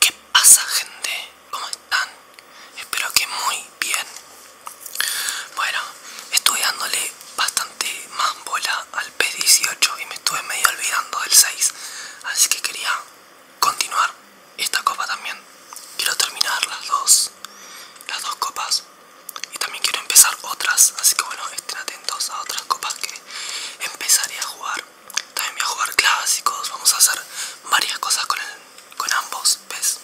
¿Qué pasa gente? ¿Cómo están? Espero que muy bien. Bueno, estuve dándole bastante más bola al P18 y me estuve medio olvidando del 6. Así que quería continuar esta copa también. Quiero terminar las dos, las dos copas y también quiero empezar otras. Así que bueno, estén atentos a otras copas que empezaré a jugar. También voy a jugar clásicos, vamos a hacer varias cosas con, con ambos, ¿ves?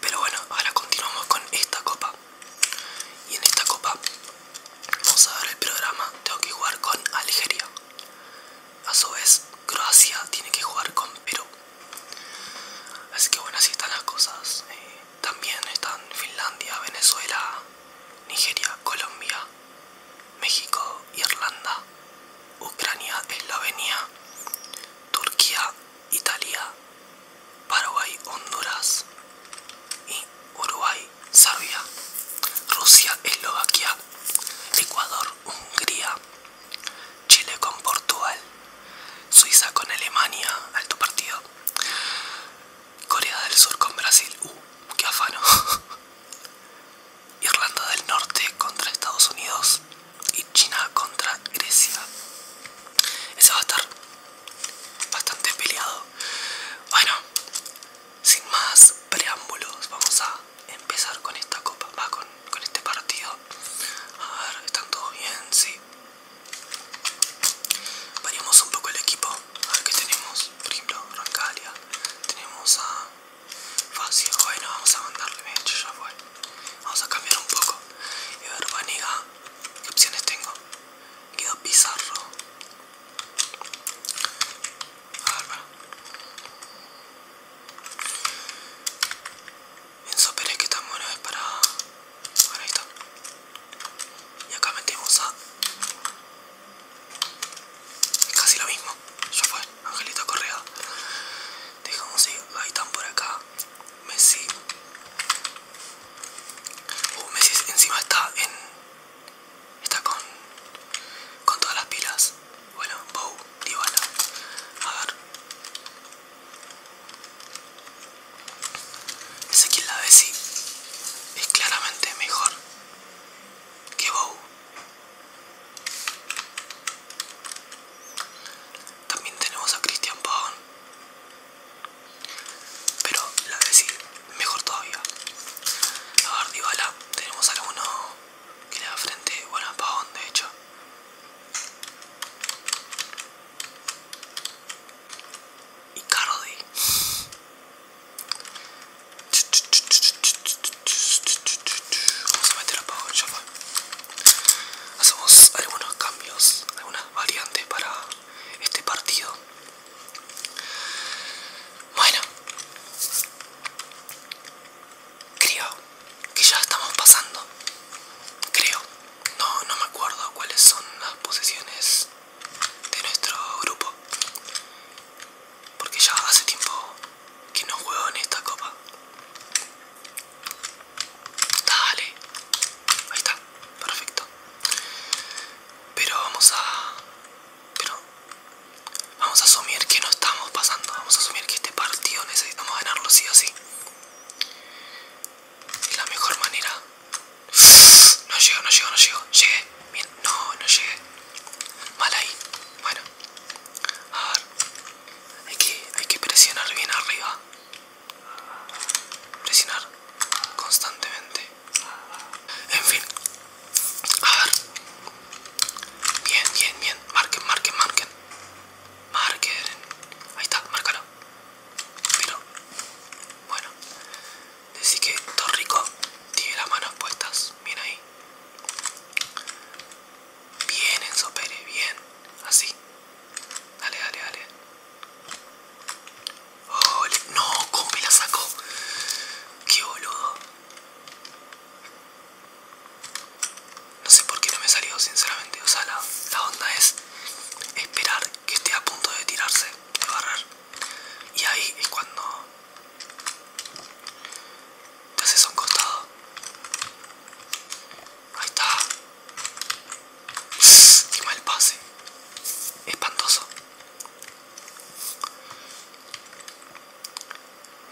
Pero bueno, ahora continuamos con esta copa. Y en esta copa vamos a ver el programa. Tengo que jugar con Algeria. A su vez, Croacia tiene que jugar con Perú. Así que bueno, así están las cosas. Eh, también están Finlandia, Venezuela, Nigeria, Colombia, México, Irlanda, Ucrania, Eslovenia, Turquía, Italia, Paraguay, Honduras y Uruguay, Serbia, Rusia, Eslovaquia, Ecuador, Hungría, Chile con Portugal, Suiza con Alemania, alto partido, Corea del Sur con Brasil, uh, qué afano. Irlanda del Norte contra Estados Unidos y China contra Grecia. Ese va a estar bastante peleado. Bueno, sin más preámbulos, vamos a empezar con esta copa, con, con este partido. A ver, ¿están todos bien? Sí. Variamos un poco el equipo, a ver qué tenemos por ejemplo, Rancalia, tenemos a Facio, bueno, vamos a mandarle, de hecho ya fue. Vamos a cambiar un poco. Y ver, Vaniga, ¿qué opciones tengo? quedo Pizarro. A ver, bueno Pérez, que tan bueno es para... Bueno, ahí está. Y acá metemos a es casi lo mismo. Ya fue, Angelita Correa. Dejamos ahí están por acá. Messi. Uh, Messi encima está en. Está con. Con todas las pilas. Bueno, Bow, Dybala. A ver. la de sí es claramente mejor ¡Qué También tenemos a Cristian Pagón Pero la de sí, mejor todavía. A ver, Bala, tenemos a alguno que le da frente, bueno, a Pavón de hecho. Y Cardi. Vamos a meter a Hacemos algunos cambios, algunas variantes para este partido. Bueno, creo que ya estamos pasando. Creo, no, no me acuerdo cuáles son las posiciones de nuestro grupo porque ya hace tiempo que no juego en esta copa dale ahí está perfecto pero vamos a pero vamos a asumir que no estamos pasando vamos a asumir que este partido necesitamos ganarlo sí o sí y la mejor manera no llego, no llego, no llego. Llegué. Bien. No, no llegué. Mal ahí. Bueno. A ver. Hay que, presionar bien arriba. Presionar constantemente. En fin. A ver. Bien, bien, bien. Marquen, marquen, marquen. Marquen. Ahí está, márcalo. Pero. Bueno. Así que todo rico. Tiene las manos puestas. Bien ahí. Bien, en Bien. Así. Dale, dale, dale. Oh, no, ¿cómo me la sacó? Qué boludo. No sé por qué no me salió, sinceramente. O sea, la, onda es esperar que esté a punto de tirarse, de barrar. Y ahí es cuando te haces un costado. Ahí está. Qué el pase. Espantoso.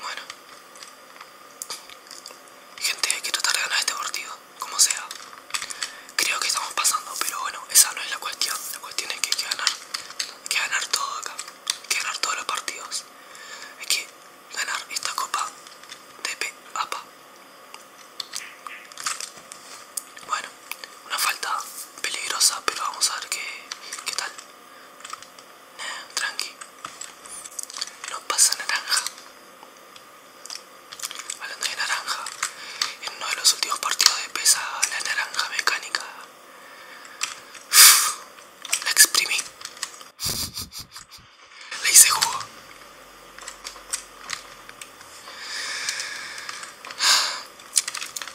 Bueno. Gente, hay que tratar de ganar este partido, como sea creo que estamos pasando, pero bueno, esa no es la cuestión. La cuestión es que hay que ganar, hay que ganar todo acá, hay que ganar todos los partidos, hay que ganar esta copa de APA. Bueno, una falta peligrosa, pero vamos a ver qué, qué tal. tranqui, no pasa naranja. Hablando de naranja, en uno de los últimos partidos de pesa, la naranja mecánica. La exprimí. Le hice jugo.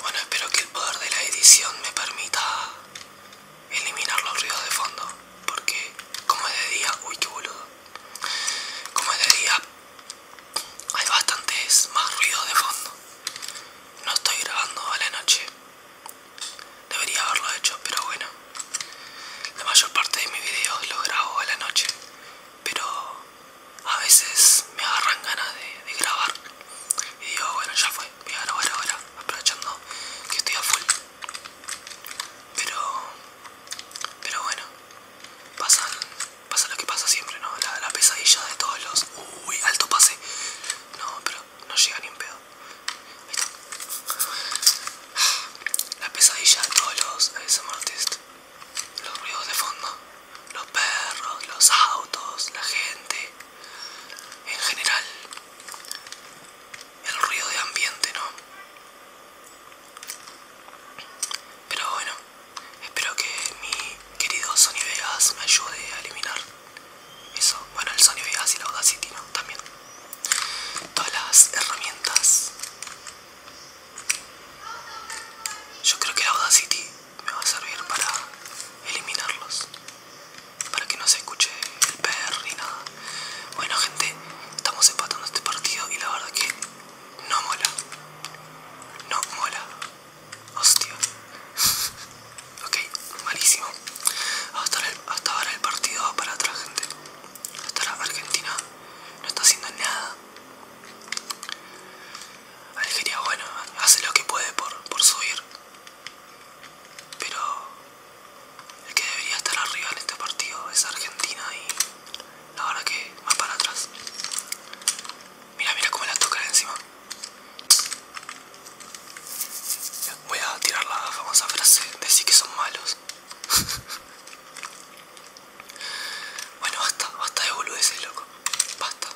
Bueno, espero que el poder de la edición me permita eliminar los ruidos de fondo. Porque como es de día, uy, qué boludo como es de hay bastantes más ruido de fondo no estoy grabando a la noche debería haberlo hecho pero bueno la mayor parte de mis videos los grabo a la noche pero a veces me agarran ganas de, de grabar y digo bueno ya fue voy a grabar ahora aprovechando que estoy a full pero pero bueno pasan, pasa lo que pasa siempre, ¿no? La, pesadilla de todos los... Uy, alto pase. No, pero no llega ni un pedo. La pesadilla de todos los eh, Los ruidos de fondo. Los perros, los autos, la gente. En general. El ruido de ambiente, ¿no? Pero bueno, espero que mi querido Sony Vegas me ayude a eliminar eso. Bueno, el Sony Vegas y la Audacity, ¿no? También. Todas las herramientas. Yo creo que la Audacity me va a servir para eliminarlos. Para que no se escuche el perro ni nada. Bueno gente, estamos empatando este partido y la verdad que no mola. No mola. Hostia. ok, malísimo. Hasta, ahora el partido va para atrás, gente. Hasta ahora Argentina no está haciendo nada. Algeria, bueno, hace lo que puede por, por subir. Pero el que debería estar arriba en este partido es Argentina y la verdad que va para atrás. Mira, mira cómo la toca encima. Voy a tirar la famosa frase, decir que son malos. bueno, basta, basta de boludeces, loco. Basta.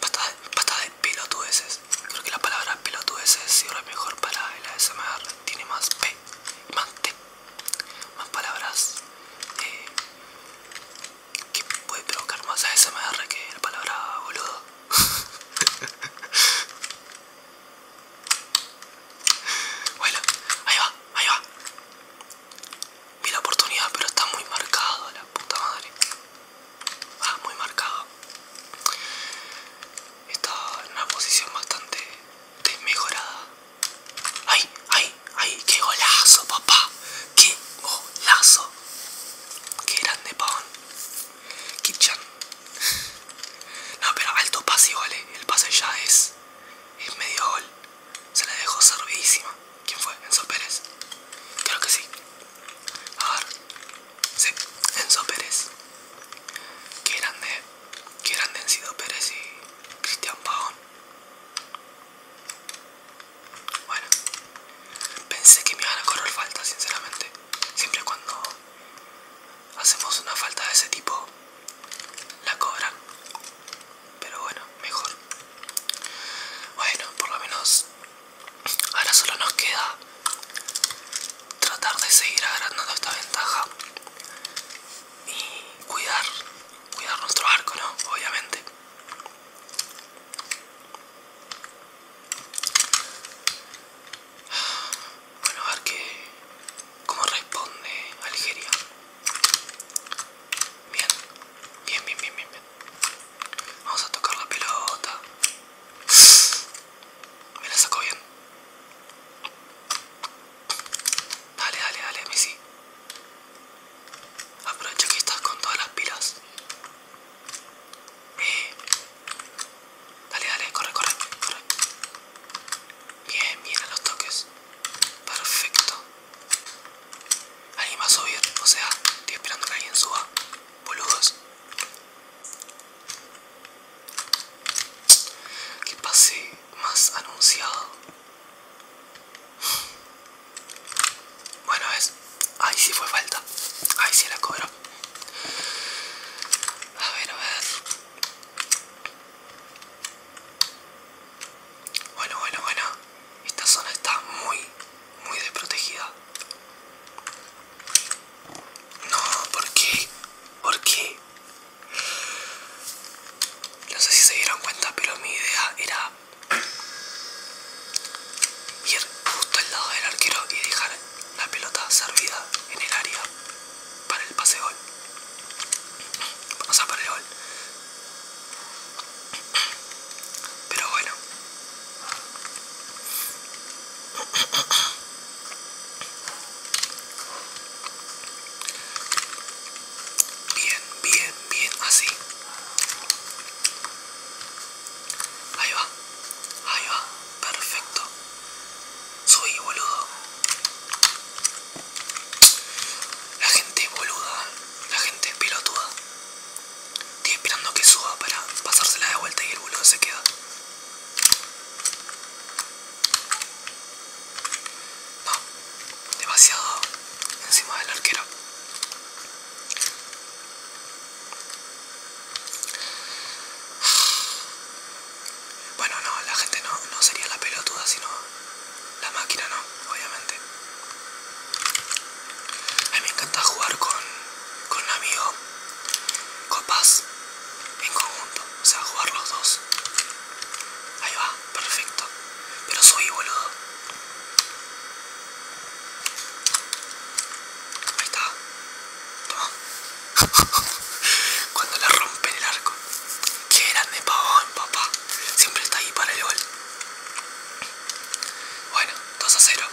Basta de, basta de pelotudeces. Creo que la palabra pelotudeces sirve mejor para el ASMR. Tiene más P, más T más palabras eh, que puede provocar más ASMR que la palabra boludo. bueno, ahí va, ahí va. Vi la oportunidad, pero está muy marcado, la puta madre. Ah, muy marcado. Está en una posición bastante desmejorada. ¡Ay, ay, ay! ¡Qué golazo, papá! ¡Qué golazo! ¡Qué grande, pavón! Kitchan. No, pero alto pase vale eh. El pase ya es, es medio gol. Se la dejó servidísima. ¿Quién fue? ¿Enzo Pérez? Creo que sí. A ver. Sí, Enzo Pérez. Qué grande. Eh que eran Encido Pérez y Cristian Pagón Bueno, pensé que me iban a correr falta, sinceramente. Siempre cuando hacemos una falta de ese tipo, la cobran. Pero bueno, mejor. Bueno, por lo menos ahora solo nos queda tratar de seguir agrandando esta ventaja y cuidar, cuidar nuestro arco, ¿no? Obviamente. Bueno, a ver qué... ¿Cómo responde Algeria? Bien, bien, bien, bien, bien. Vamos a tocar la pelota. Me la sacó bien. Dale, dale, dale, Messi. Aprovecho que estás con todas las pilas. Eh. Dale, dale, corre, corre, corre. Bien, bien a los toques. Perfecto. Ahí va a subir? O sea, estoy esperando que alguien suba. Boludos que pase más anunciado! Bueno, es. Ahí sí fue falta. Ahí sí la cobró. A ver, a ver. Bueno, bueno, bueno. Esta zona está muy, muy desprotegida. No, ¿por qué? ¿Por qué? No sé si se dieron cuenta, pero mi idea era ir justo al lado del arquero y dejar la pelota servida en el área para el pase gol. O sea, para el gol. Pero bueno. Bien, bien, bien, así. Ahí va, ahí va, perfecto. Soy boludo. La gente boluda, la gente pelotuda. Estoy esperando que suba para pasársela de vuelta y el boludo se queda. No, demasiado encima del arquero. Bueno, no, la gente no, sería la pelotuda, sino la máquina, no, obviamente. A mí me encanta jugar con, con un amigo, copas en conjunto, o sea, jugar los dos. Ahí va, perfecto. Pero soy boludo. Ahí está. Toma. Cuando le rompe el arco. Qué grande pavón, papá. Siempre está ahí para el gol. Bueno, 2 a 0.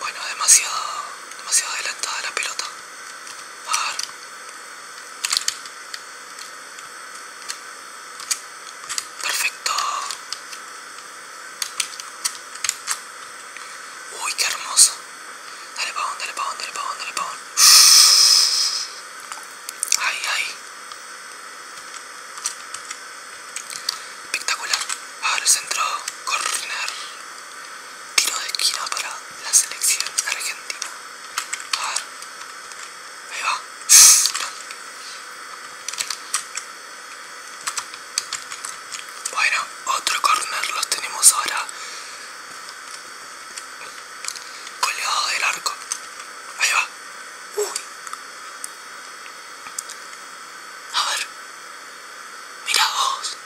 Bueno, demasiado, demasiado adelantada la pelota. A ver. Perfecto. Uy, qué hermoso. Dale pavón, dale pavón, dale pavón, dale pavón. Ay, ay. Espectacular. Ahora el centro Corner. Tiro de esquina para la selección argentina. A ver. Ahí va. Bueno, otro corner los tenemos ahora. Colgado del arco. Ahí va. Uy. A ver. Mira vos.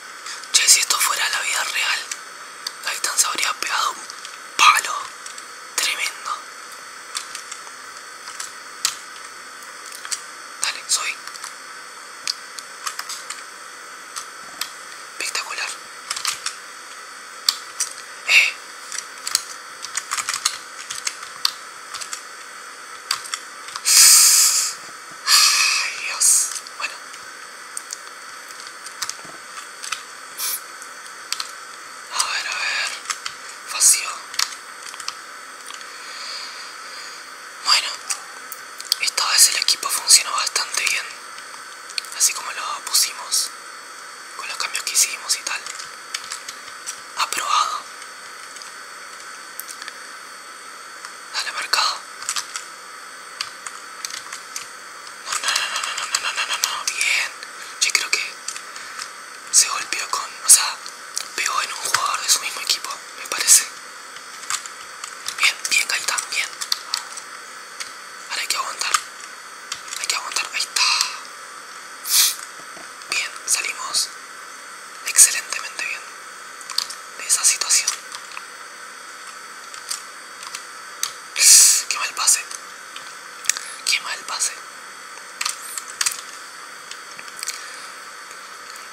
Che, si esto fuera la vida real, La se habría pegado un palo. Tremendo. Dale, soy. Espectacular. A ver, a ver, Bueno, esta vez el equipo funcionó bastante bien, así como lo pusimos con los cambios que hicimos y tal. Aprobado. Dale marcado. No, no, no, no, no, no, no, no, no, bien. Yo creo que se golpeó con, o sea, pegó en un jugador de su mismo equipo, me parece. Bien, bien, Gaitán, bien. Ahora hay que aguantar. Hay que aguantar. Ahí está. Bien, salimos excelentemente bien de esa situación. Qué mal pase. Qué mal pase.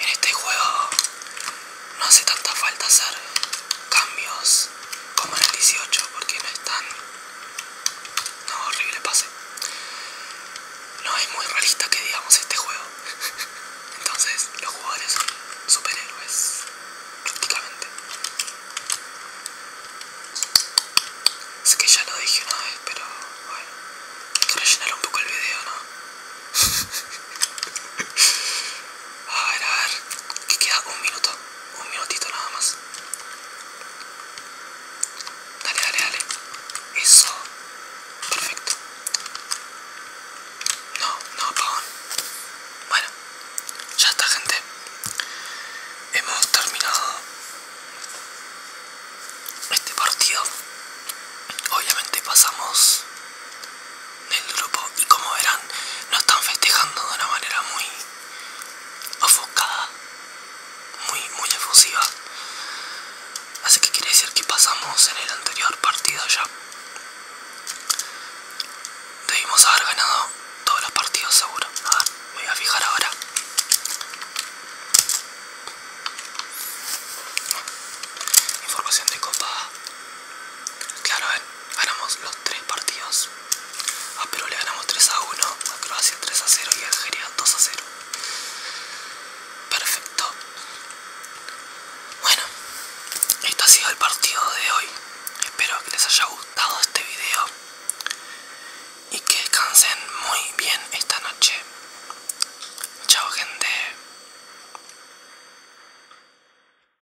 En este juego no hace tanta falta hacer cambios como en el 18 porque no es tan... No, horrible pase. No es muy realista que digamos este juego. Entonces los jugadores son superhéroes prácticamente. Sé que ya lo dije una vez, pero bueno. Hay que un poco el video, ¿no? a ver, a ver. Que queda un minuto. Un minutito nada más. Dale, dale, dale. Eso. Perfecto. No, no, apagón. Bueno, ya está, gente. Hemos terminado este partido. Obviamente pasamos del grupo y como verán nos están festejando de una manera muy ofocada muy, muy efusiva. Así que quiere decir que pasamos en el anterior partido ya. Debimos haber ganado todos los partidos seguro. A ver, voy a fijar ahora. Información de copa Claro, ganamos los tres partidos. A Perú le ganamos 3 a 1, a Croacia 3 a 0 y a Algeria 2 a 0. Perfecto. Bueno, esto ha sido el partido de hoy. Espero que les haya gustado este video y que descansen muy bien esta noche. Chao gente.